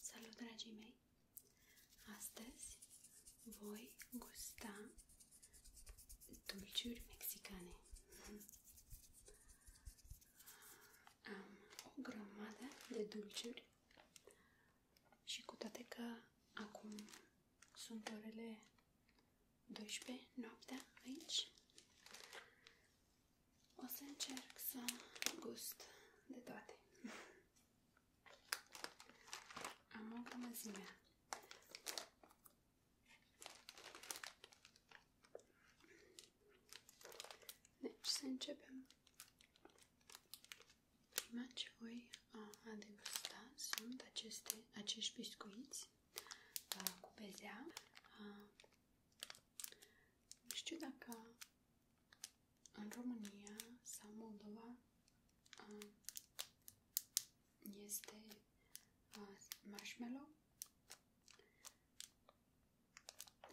Salut, dragii mei! Astăzi voi gusta dulciuri mexicane. Am o grămadă de dulciuri și cu toate că acum sunt orele 12 noaptea aici, o să încerc să gust de toate. Am o grămăzime. Deci să începem Prima ce voi uh, a degusta sunt aceste, acești biscuiți a, uh, cu bezea. A, uh, nu știu dacă în România sau Moldova a, este a, marshmallow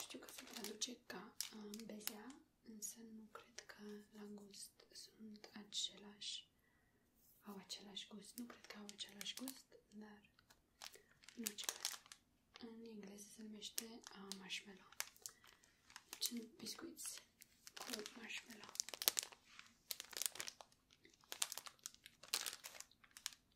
știu că se traduce ca um, bezea, însă nu cred că la gust sunt același, au același gust. Nu cred că au același gust, dar în orice caz. În engleză se numește uh, marshmallow. Deci biscuiți cu marshmallow.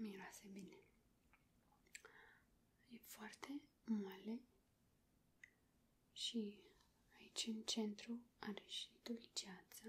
Miroase bine. E foarte moale și aici în centru are și dulceața.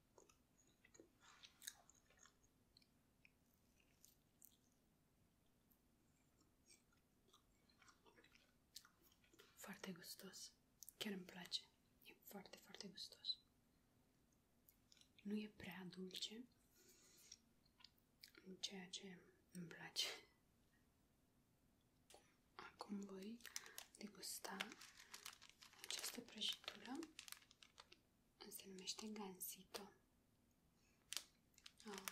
Foarte gustos. Chiar îmi place. E foarte, foarte gustos. Nu e prea dulce, ceea ce îmi place. Acum voi degusta această prăjitură se numește Gansito. Ah.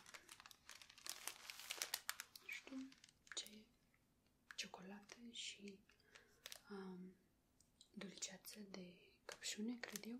Nu știu ce ciocolată și um, dulceață de căpșune, cred eu.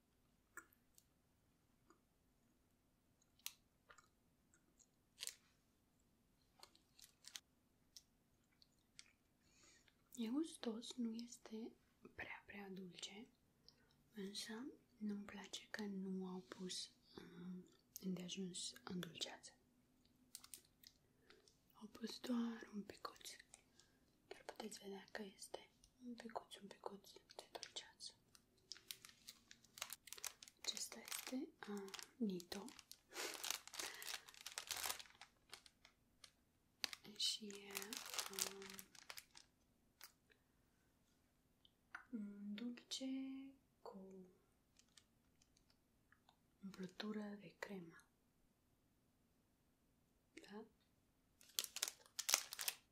E gustos, nu este prea, prea dulce, însă nu-mi place că nu au pus um, îndeajuns dulceață. Au pus doar un picuț, dar puteți vedea că este un picuț, un picuț de dulceață. Acesta este uh, Nito și e um, dulce cu umplutură de cremă. Da?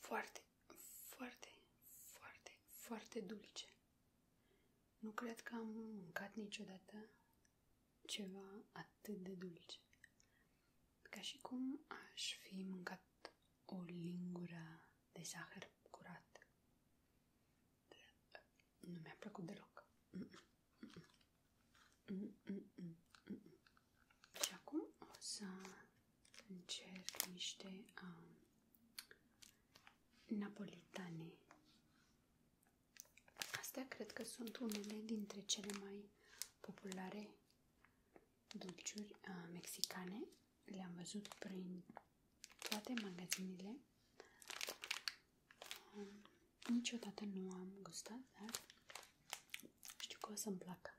Foarte, foarte, foarte, foarte dulce. Nu cred că am mâncat niciodată ceva atât de dulce. Ca și cum aș fi mâncat o lingură de zahăr curat. Nu mi-a plăcut deloc. Și acum o să încerc niște um, napolitane. Astea cred că sunt unele dintre cele mai populare dulciuri mexicane. Le-am văzut prin toate magazinele magazinile. Niciodată nu am gustat, dar știu că o să-mi placă.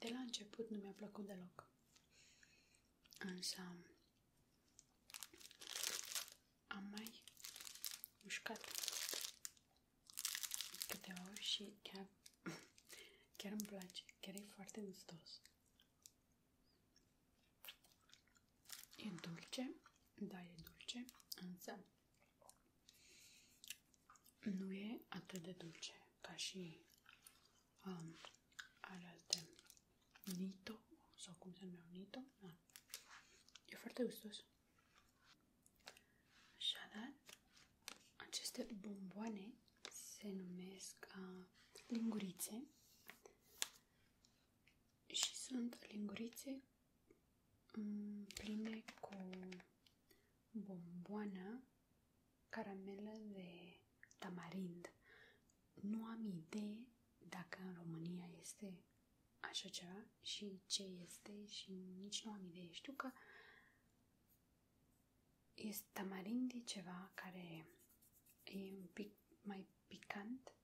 De la început nu mi-a plăcut deloc. Însă am mai mușcat câteva ori și chiar, chiar îmi place. Chiar e foarte gustos. E dulce, da, e dulce, însă nu e atât de dulce ca și um, alea de Nito, sau cum se numește Nito. Da. E foarte gustos. Așadar, aceste bomboane se numesc uh, lingurițe și sunt lingurițe mm, pline cu bomboană caramelă de tamarind. Nu am idee dacă în România este așa ceva și ce este și nici nu am idee. Știu că este tamarind e ceva care e un pic mai picant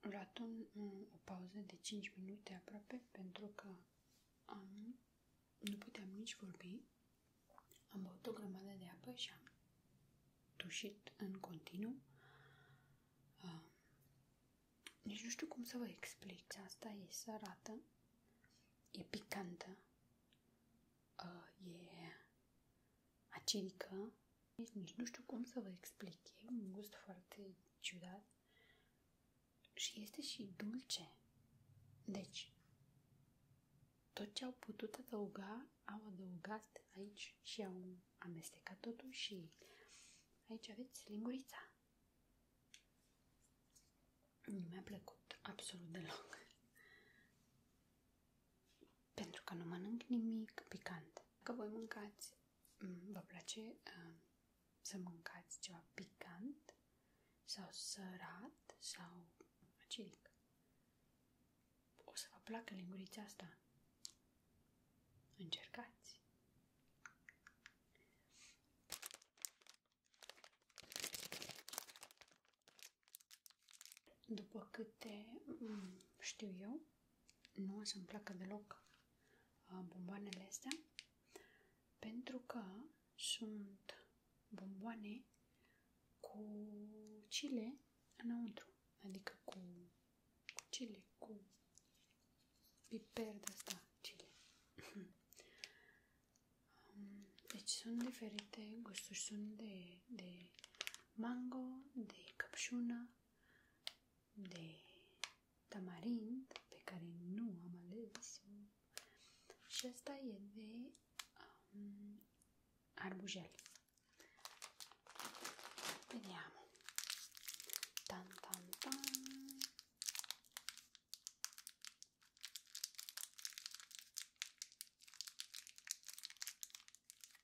luat un, o pauză de 5 minute aproape pentru că am, nu puteam nici vorbi. Am băut o grămadă de apă și am tușit în continuu. Uh, nici nu știu cum să vă explic. Asta e sărată, e picantă, uh, e acidică, nici, nici nu știu cum să vă explic. E un gust foarte ciudat și este și dulce. Deci, tot ce au putut adăuga, au adăugat aici și au amestecat totul și aici aveți lingurița. Nu mi-a plăcut absolut deloc pentru că nu mănânc nimic picant. Dacă voi mâncați, mm, vă place uh, să mâncați ceva picant sau sărat sau aciric, o să vă placă lingurița asta. Încercați! După câte mm, știu eu, nu o să-mi placă deloc uh, bomboanele astea pentru că sunt bomboane cu chile înăuntru, adică cu chile, cu piper de asta, chile. Um, deci sunt diferite gusturi, sunt de de, mango, de capșună, de tamarind, pe care nu am ales și asta e de um, arbujel. Vediamo. Tan tan tan.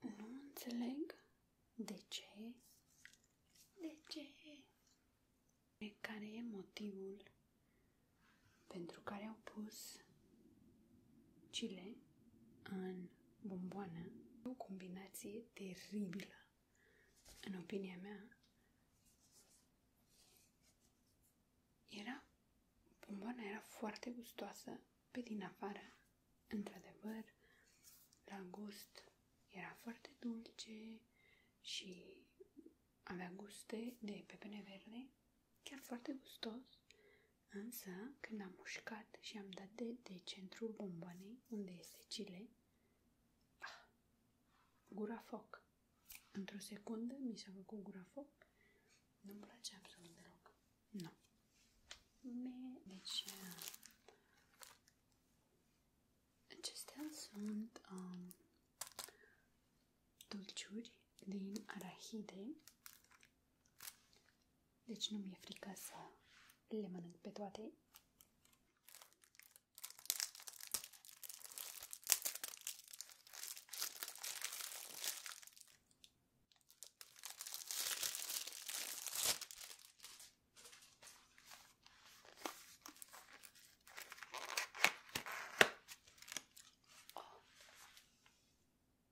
Nu înțeleg de ce, de ce, de care e motivul pentru care au pus chile în bomboană. O combinație teribilă, în opinia mea. Era, bomboana era foarte gustoasă pe din afară. Într-adevăr, la gust era foarte dulce și avea guste de pepene verde, chiar foarte gustos, Însă, când am mușcat și am dat de, de centru bomboanei, unde este Chile, ah, gura foc. Într-o secundă mi s-a făcut gura foc. Nu-mi place absolut deloc. Nu. Me, deci, uh, acestea sunt um, dulciuri din arahide deci nu mi-e frică să le mănânc pe toate.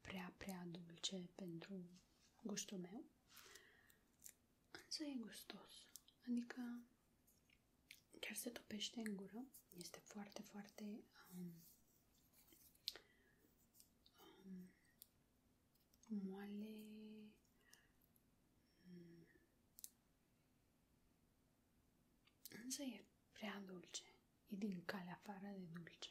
prea, prea dulce pentru gustul meu, însă e gustos. Adică chiar se topește în gură. Este foarte, foarte um, um, moale, Însă e prea dulce. E din calea afară de dulce.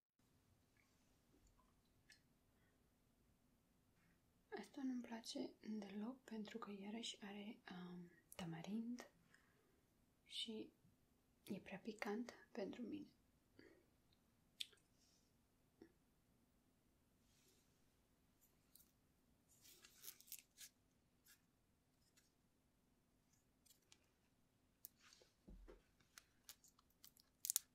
Asta nu-mi place deloc pentru că iarăși are um, tamarind și e prea picant pentru mine.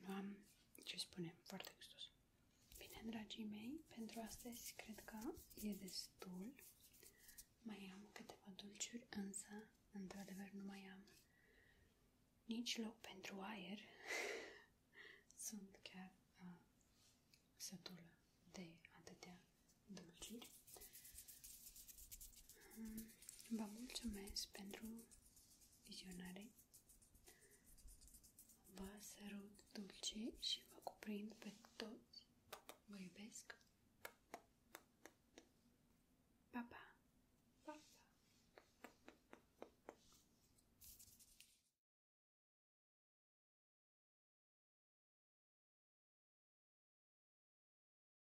Nu am ce spune, foarte gustos. Bine, dragii mei, pentru astăzi cred că e destul. Mai am câteva dulciuri, însă, într-adevăr, nu mai am nici loc pentru aer. Sunt chiar uh, sătulă de atâtea dulciuri. Um, Vă mulțumesc pentru vizionare. Vă sărut dulce și vă cuprind pe toți. Vă iubesc. Pa, pa!